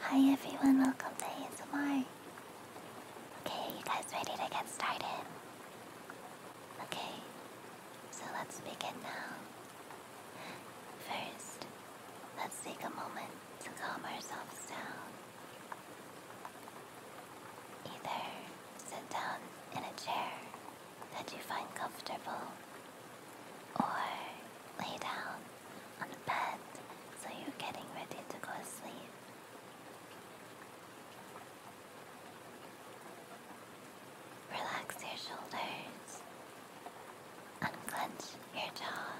Hi everyone, welcome to ASMR. Okay, you guys ready to get started? Okay, so let's begin now. First, let's take a moment to calm ourselves down. Either sit down in a chair that you find comfortable or lay down on the bed, so you're getting ready to go to sleep. Relax your shoulders, unclench your jaw,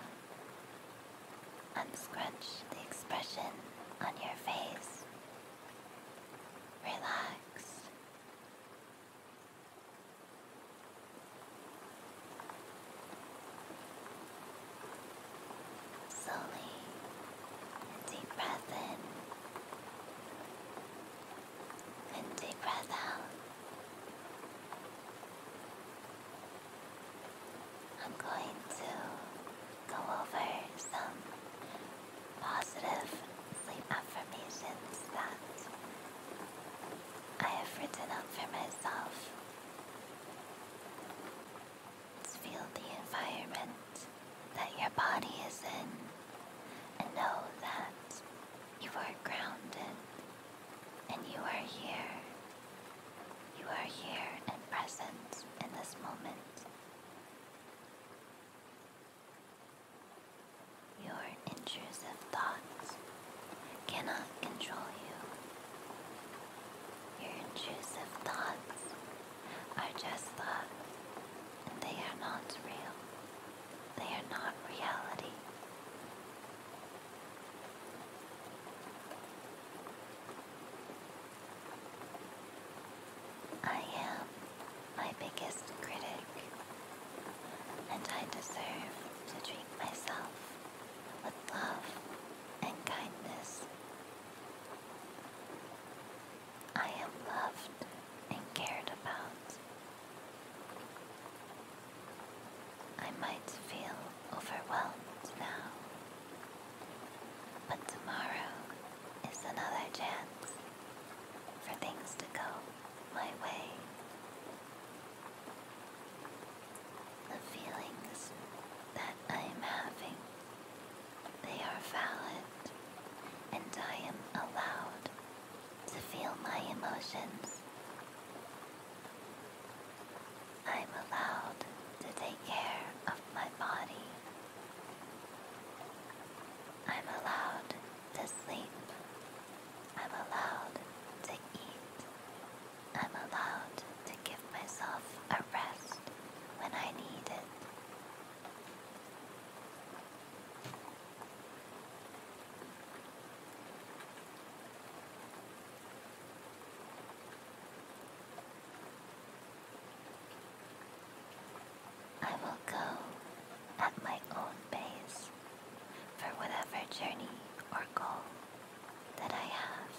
unscrunch the expression on your face. Relax. Slowly, and deep breath in, and deep breath out. I'm going to go over some positive sleep affirmations that I have written up for myself. feel the environment that your body is in and know that you are grounded and you are here. You are here and present in this moment. You are intrusive thoughts cannot control you. Your intrusive thoughts are just thoughts, and they are not real. They are not reality. I am my biggest critic, and I deserve to treat myself with love and kindness. I am loved and cared about. I might feel overwhelmed now, but tomorrow is another chance for things to go my way. The feelings that I am having, they are valid, and I am allowed to feel my emotions. I'm allowed to take care of my body. I'm allowed to sleep. I'm allowed to eat. I'm allowed to give myself a rest when I need it. I will go at my own pace for whatever journey or goal that I have.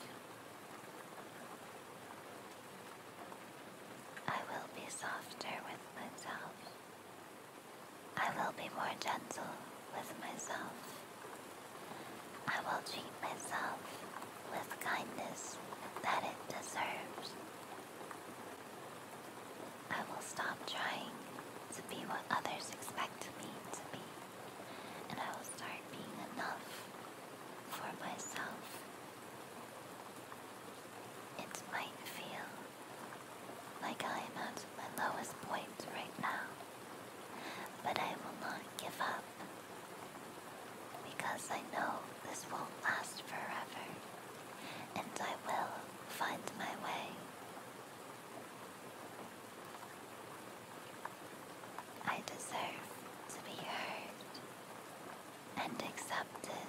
I will be softer with myself. I will be more gentle with myself. I will treat myself with kindness that it deserves. I will stop trying to be what others expect me to be and I will start being enough for myself. It might feel like I am at my lowest point right now, but I will not give up because I know this won't last forever and I will find my way. I deserve to be heard and accepted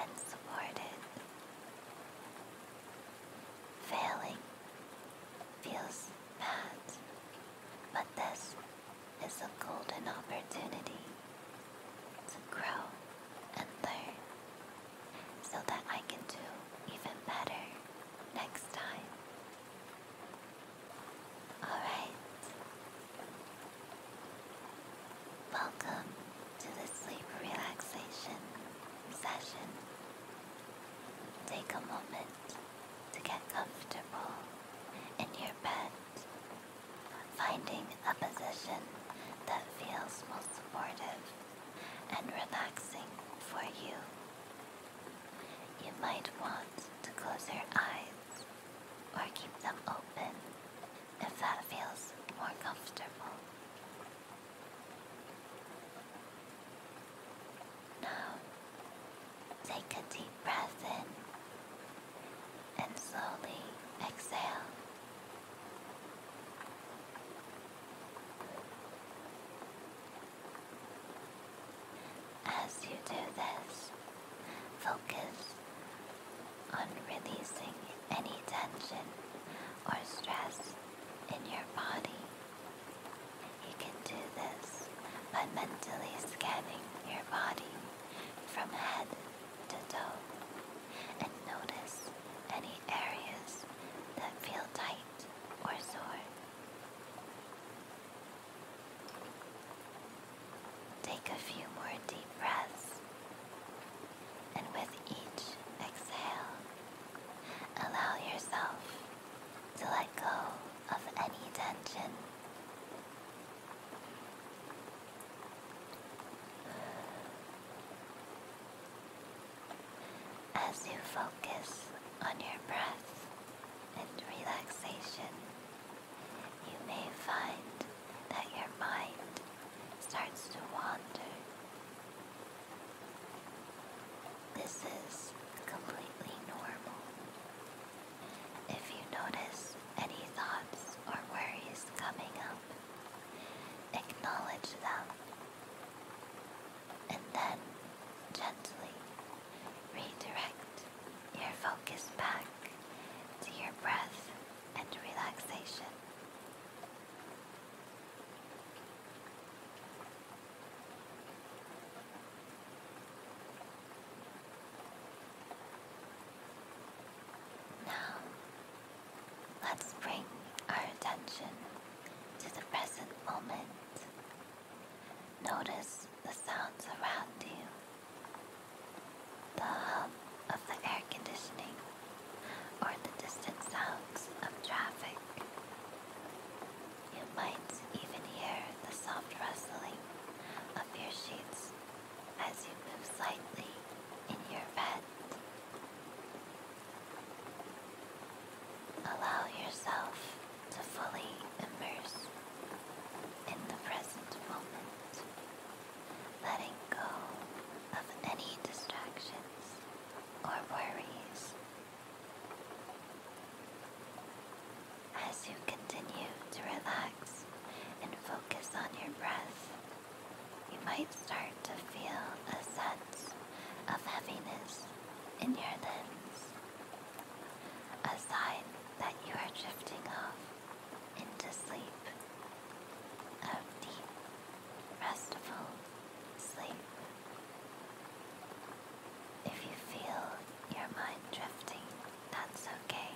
and supported. Failing feels bad, but this is a golden opportunity to grow and learn so that I can do even better next time. Alright. Welcome to the sleep relaxation session. Take a moment to get comfortable in your bed, finding a position that feels most supportive and relaxing for you. You might want to close your eyes or keep them open if that feels more comfortable. Now, take a deep breath in and slowly exhale. As you do this, focus on releasing any tension or stress in your body. You can do this by mentally scanning your body from head to toe and notice any areas that feel tight or sore. Take a few more deep breaths, and with each exhale, allow yourself to let go of any tension as you focus on your breath and relaxation, you may find that your mind starts to wander. This is completely normal. If you notice any thoughts or worries coming up, acknowledge them and then gently redirect your focus back to your breath and relaxation. Now, let's bring our attention to the present moment. Notice the sounds around you, the hum of the air conditioning, or the distant sounds of traffic. You might even hear the soft rustling of your sheets as you move slightly in your bed. Allow yourself to fully immerse in the present moment, letting go of any distractions or worries. As you continue to relax and focus on your breath, you might start to feel a sense of heaviness in your limbs, a sign that you are drifting off into sleep, of deep, restful sleep. If you feel your mind drifting, that's okay.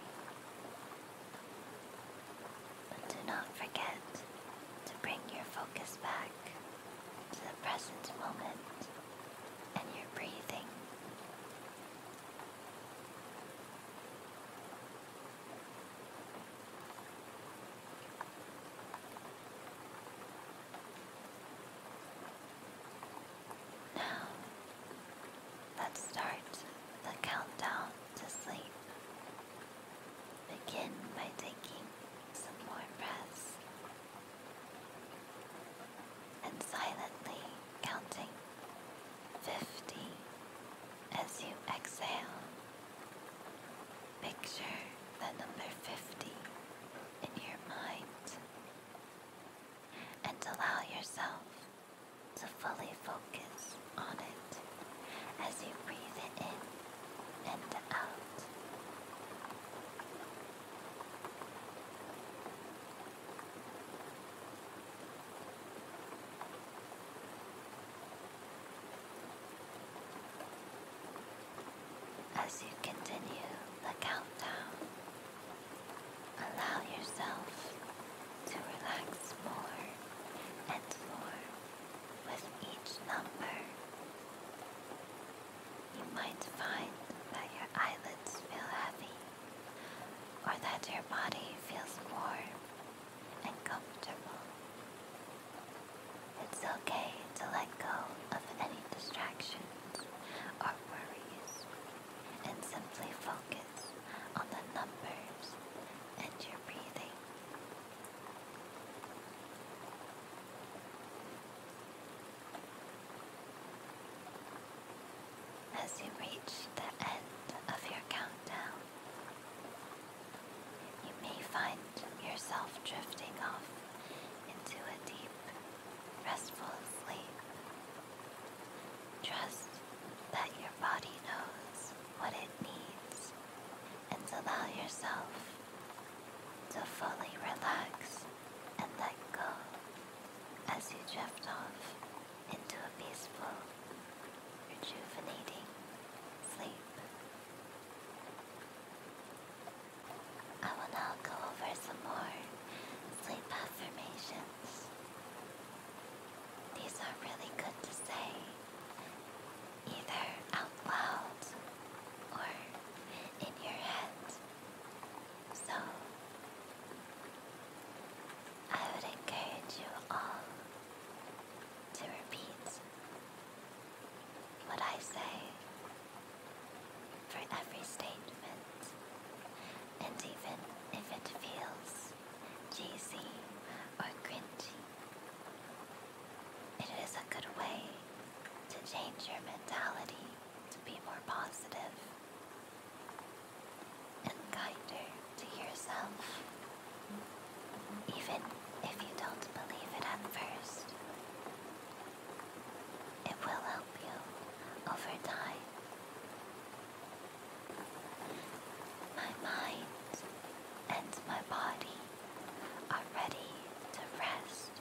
But do not forget to bring your focus back to the present moment and your breathing. Now, let's start the countdown to sleep. Begin by taking some more breaths and silently counting 50 as you exhale. Picture the number 50 in your mind and allow yourself to fully focus on it as you breathe it in and out. As you continue the countdown, allow yourself to relax more and more with each number you might find that your eyelids feel heavy or that your body feels warm and comfortable. It's okay to let go of any distractions or worries and simply focus on the numbers and your breathing. As you reach the end of your countdown, you may find yourself drifting off into a deep, restful sleep. Trust that your body knows what it needs and allow yourself to fully relax and let go as you drift off into a peaceful, rejuvenating sleep. I will now go over some more sleep affirmations. These are really good to say either out loud or in your head. So, I would encourage you all to repeat what I say for every statement, and even if it feels cheesy or cringy, it is a good way to change your mentality to be more positive and kinder to yourself, even if you don't believe it at first. It will help you over time. My mind and my body are ready to rest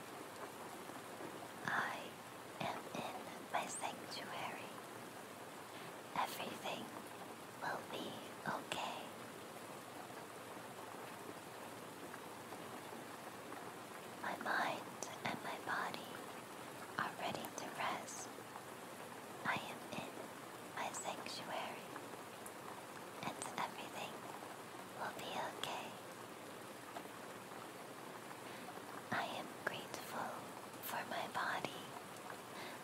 I am in my sanctuary. Everything will be okay. My mind and my body are ready to rest. I am in my sanctuary, and everything will be okay. I am grateful for my body.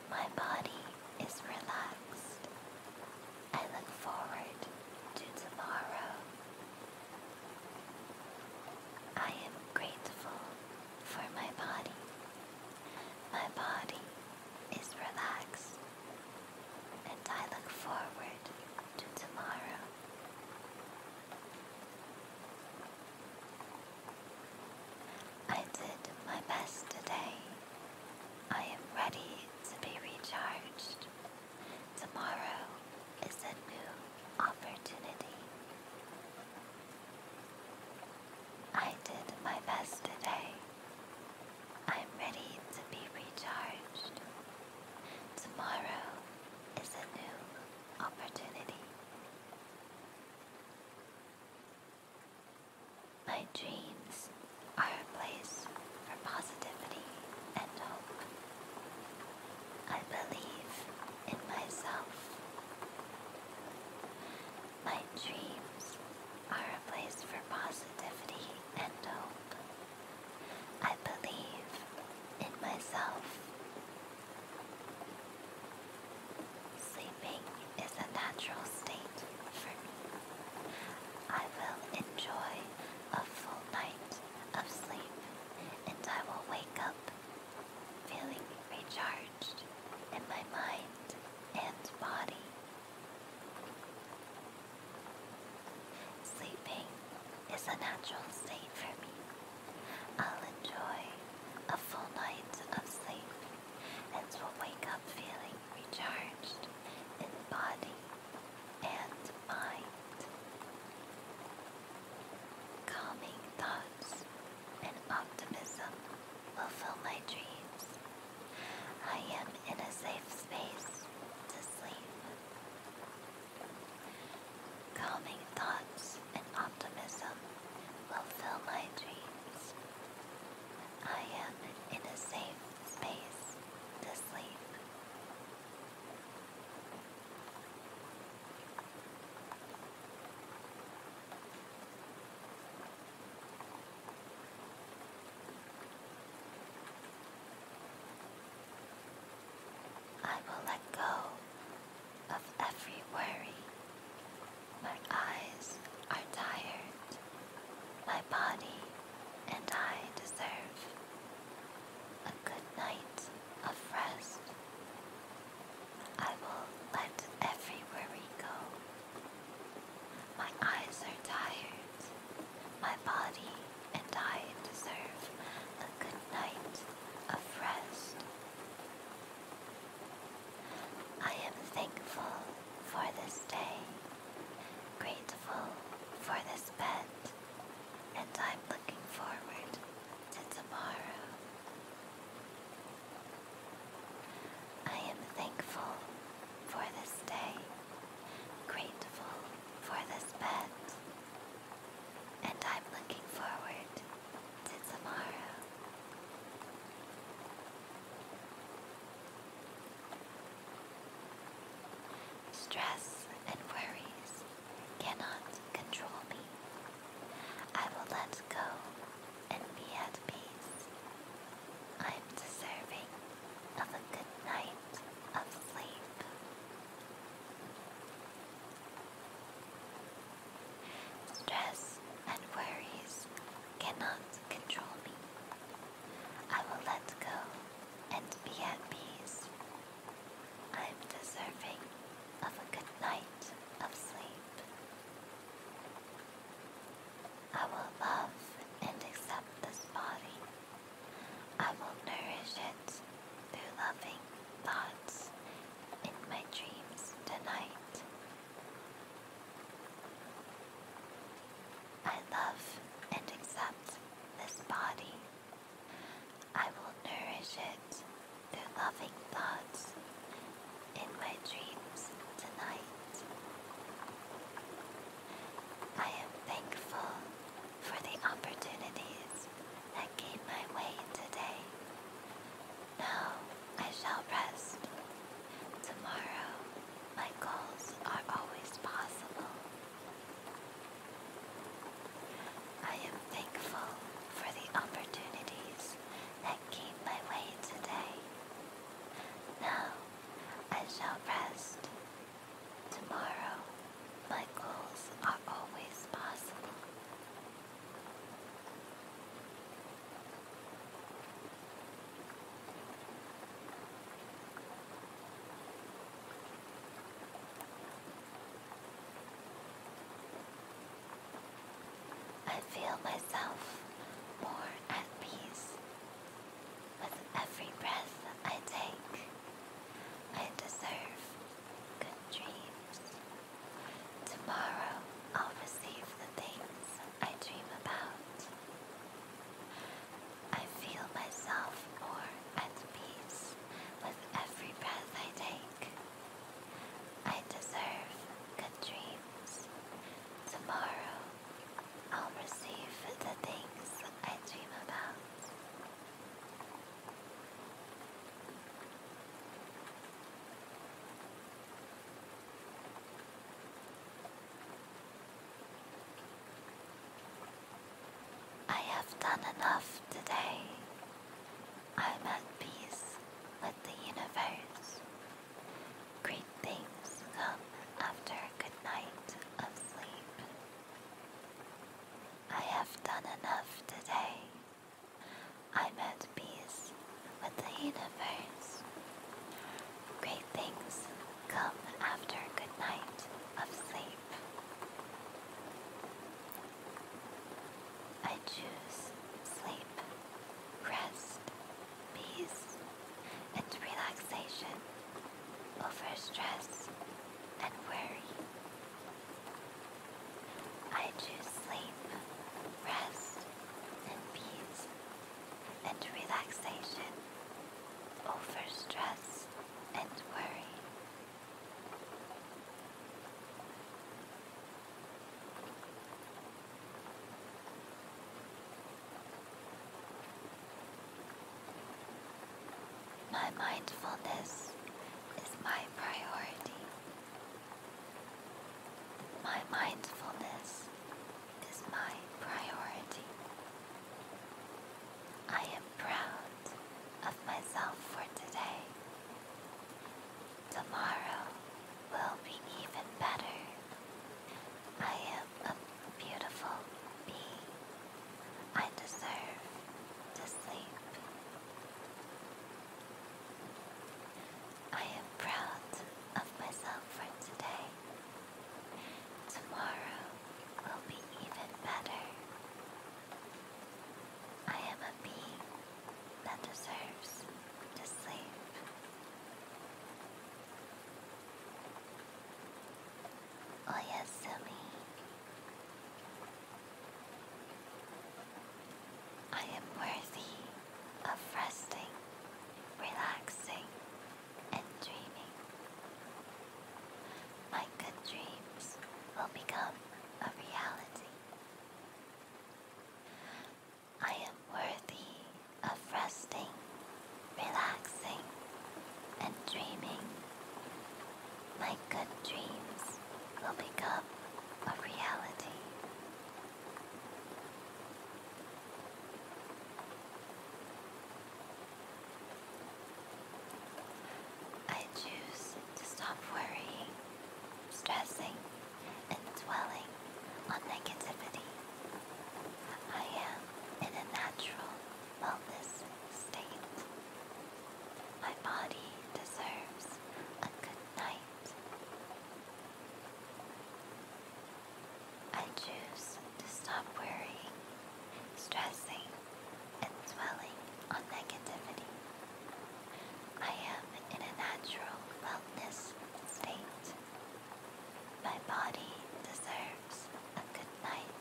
My body is relaxed. I look forward to tomorrow. I am grateful for my body. My body is relaxed and I look forward to tomorrow. I did my best today. I am ready to be recharged. Tomorrow is a new opportunity. I did my best today. I'm ready to be recharged. Tomorrow is a new opportunity. My dreams are a place for positivity and hope. I believe in myself. My dreams are a place for positivity and hope. I believe in myself. Sleeping is a natural state for me. I will enjoy a full night of sleep and I will wake up feeling recharged in my mind and body. Sleeping is a natural state for me. I'll enjoy a full night of sleep and will wake up feeling recharged in body and mind. Calming thoughts and optimism will fill my dreams. I am in a safe space to sleep. Calming thoughts and optimism will fill my dreams. I am in a safe space to sleep. I will let go of every worry. My eyes are tired. My body and I deserve a good night of rest. I will let every worry go. My eyes are tired. My body and I deserve a good night of rest. I am thankful for this day, grateful for this bed, and I'm looking forward to tomorrow. I am thankful for this day grateful for this bed, and I'm looking forward to tomorrow. Stress and worries cannot control me. I will let go and be at peace. I'm deserving of a good night of sleep. Stress and worries cannot control me. I will let go and be at peace. I am deserving of a good night of sleep. I will love and accept this body I will nourish it through loving thoughts in my dreams tonight. I love and accept this body. I will nourish it through loving thoughts in my dreams tonight. I am thankful for the opportunities that came my way today. Now I shall rest. Tomorrow my goals are always possible. I am thankful for the opportunities that came my way today. Now I shall rest. Tomorrow, my goals are always possible. I feel myself more at peace with every breath I take, I deserve good dreams. Tomorrow I'll receive the things I dream about. I feel myself more at peace with every breath I take. I deserve good dreams. Tomorrow I'll receive the things I dream about. I have done enough today. I'm at peace with the universe. Great things come after a good night of sleep. I have done enough today. I'm at peace with the universe. Great things come after a good night of sleep. I choose sleep, rest, peace, and relaxation overstressed, and weary. I choose sleep, rest, and peace, and relaxation over stress and worry. My mindfulness is my priority. My mindfulness is my priority. I am proud of myself for today. Tomorrow will be even better. I am a beautiful being. I deserve to sleep. I am proud of myself for today. Tomorrow will be even better. I am a being that deserves to sleep. Oyasumi. I am worthy of resting, relaxing, and dreaming. My good dreams will become a reality. I am worthy of resting, relaxing, and dreaming. My good dreams will become a reality. I choose to stop worrying, stressing, and dwelling on negativity. I am in a natural wellness state. My body deserves a good night. I choose to stop worrying, stressing, and dwelling on negativity. I am in a natural wellness state. My body deserves a good night.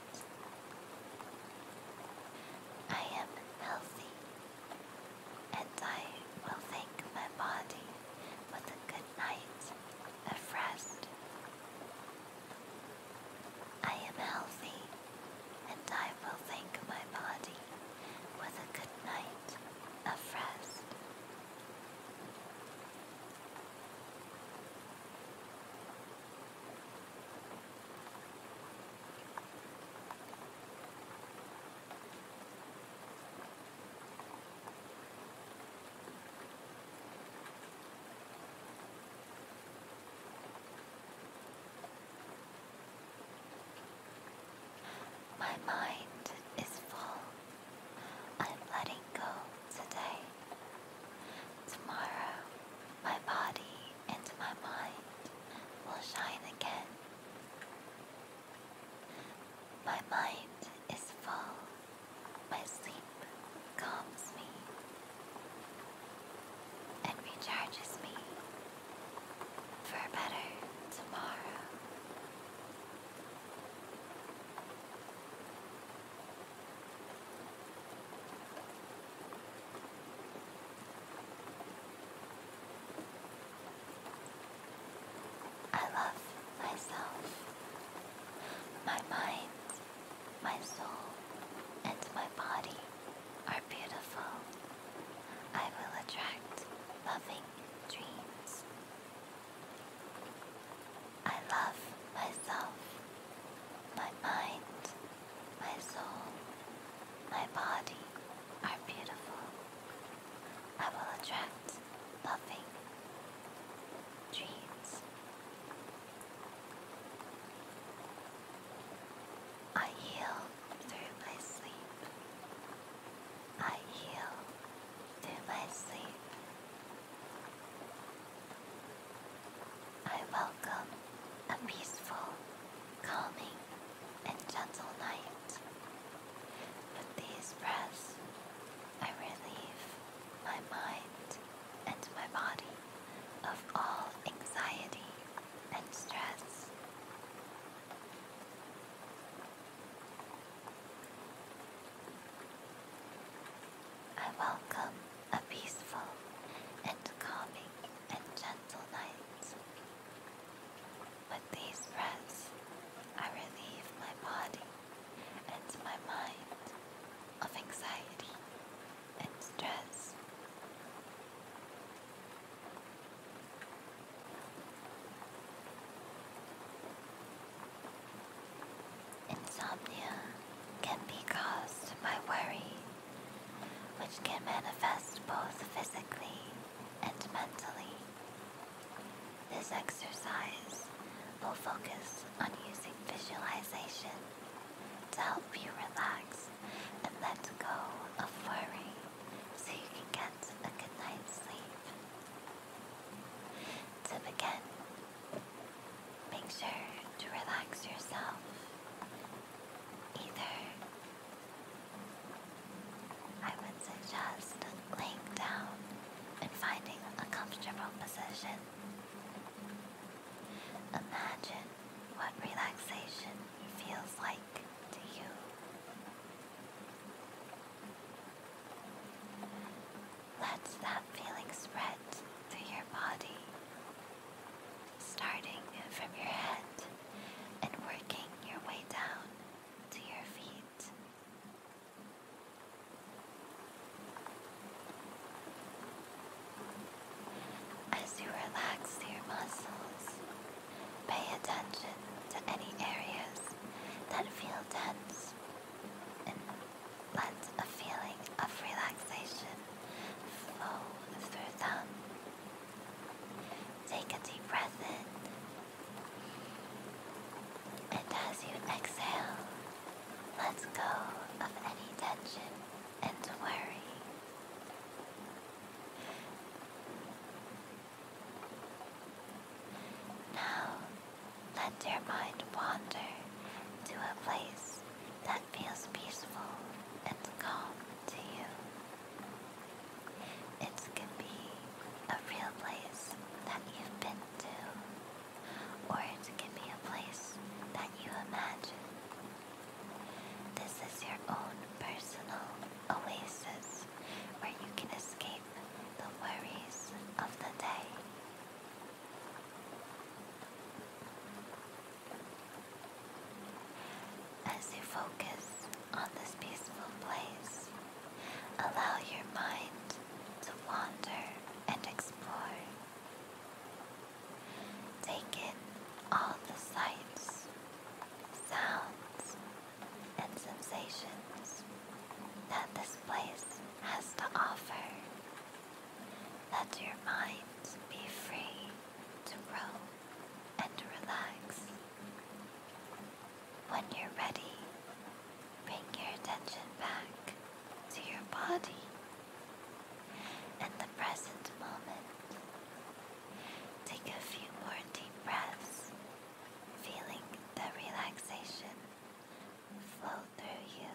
I am healthy, and I will thank my body with a good night of rest. I am healthy, and I will thank my body with a good night of rest. My mind is full. I'm letting go today. Tomorrow my body and my mind will shine again. My mind is full, my sleep calms me and recharges me for a better tomorrow. I love myself, my mind, my soul, and my body are beautiful. I will attract loving dreams. I love myself, my mind, my soul, my body are beautiful. I will attract loving dreams. I heal through my sleep. I heal through my sleep. I welcome a peaceful, calming, and gentle night. With these breaths, I relieve my mind and my body of all anxiety and stress. I welcome a peaceful and calming and gentle night. With these breaths, I relieve my body and my mind of anxiety and stress. Insomnia can be caused by worry which can manifest both physically and mentally. This exercise will focus on using visualization to help you relax and let go of worry so you can get a good night's sleep. To begin, Make sure to relax yourself either. I would suggest laying down and finding a comfortable position. Imagine what relaxation feels like to you. Let that feeling spread through your body starting from your head and working your way down to your feet. As you relax your muscles, pay attention to any areas that feel tense and let a feeling of relaxation flow oh, through them. Take a deep breath in, and as you exhale, let go of any tension and worry. Now, let your mind wander to a place that feels peaceful and calm to you. It can be a real place that you've been to, or it can be a place that you imagine. This is your own personal oasis where you can escape the worries of the day. As you focus on this peaceful place, allow your mind to wander and explore. Take in all the sights, sounds, and sensations that this place has to offer. Let your mind be free to roam and relax. When you're ready, bring your attention back to your body and the present moment. Take a few more deep breaths, feeling the relaxation flow through you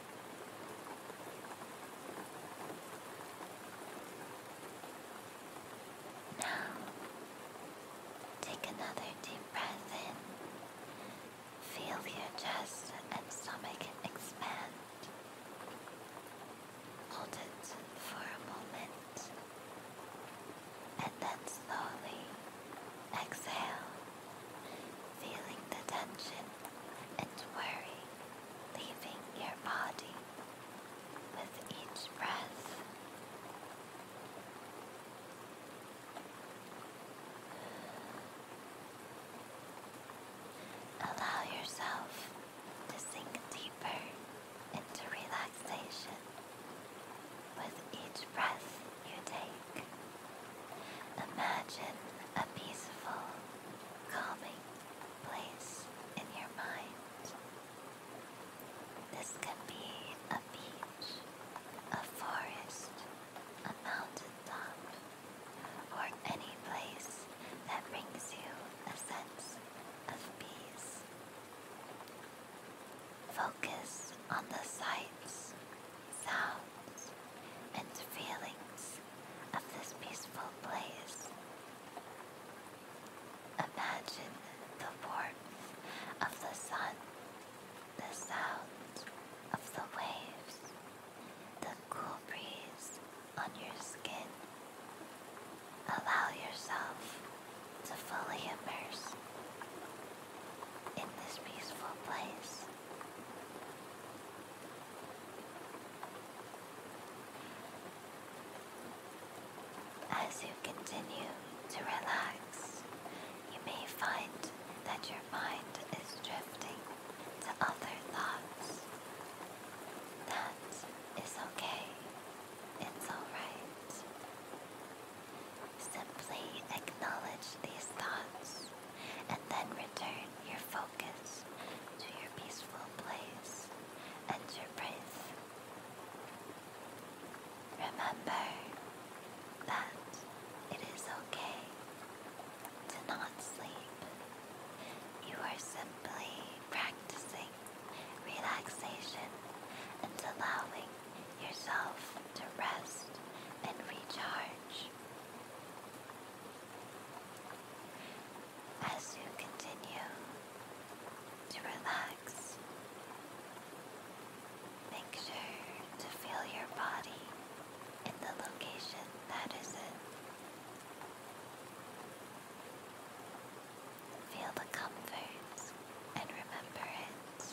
take another deep breath in. Feel your chest and stomach expand. Hold it for a moment and then slowly exhale, feeling the tension and worry leaving your body with each breath. Allow yourself to sink deeper into relaxation with each breath you take. Imagine a peaceful, calming place in your mind. This can be a beach, a forest, a mountain or any place that brings you a sense of peace. Focus on the sights, sounds, and feelings of this peaceful place. Imagine the warmth of the sun, the sound of the waves, the cool breeze on your skin. Allow yourself to fully immerse in this peaceful place. As you continue to relax, you may find that your mind is drifting to other thoughts. That is okay. It's alright. Simply acknowledge these thoughts and then return your focus focus to your peaceful place and your place. Remember that it is okay to not sleep. You are simply practicing relaxation and allowing yourself to rest and recharge as you continue to relax. Make sure to feel your body in the location that is in. Feel the comfort and remember it.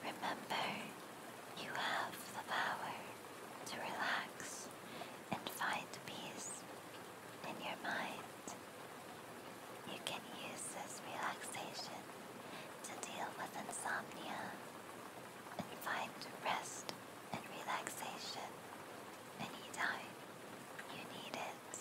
Remember, you have the power to relax and find peace in your mind. You can use this relaxation to deal with insomnia and find rest and relaxation anytime you need it.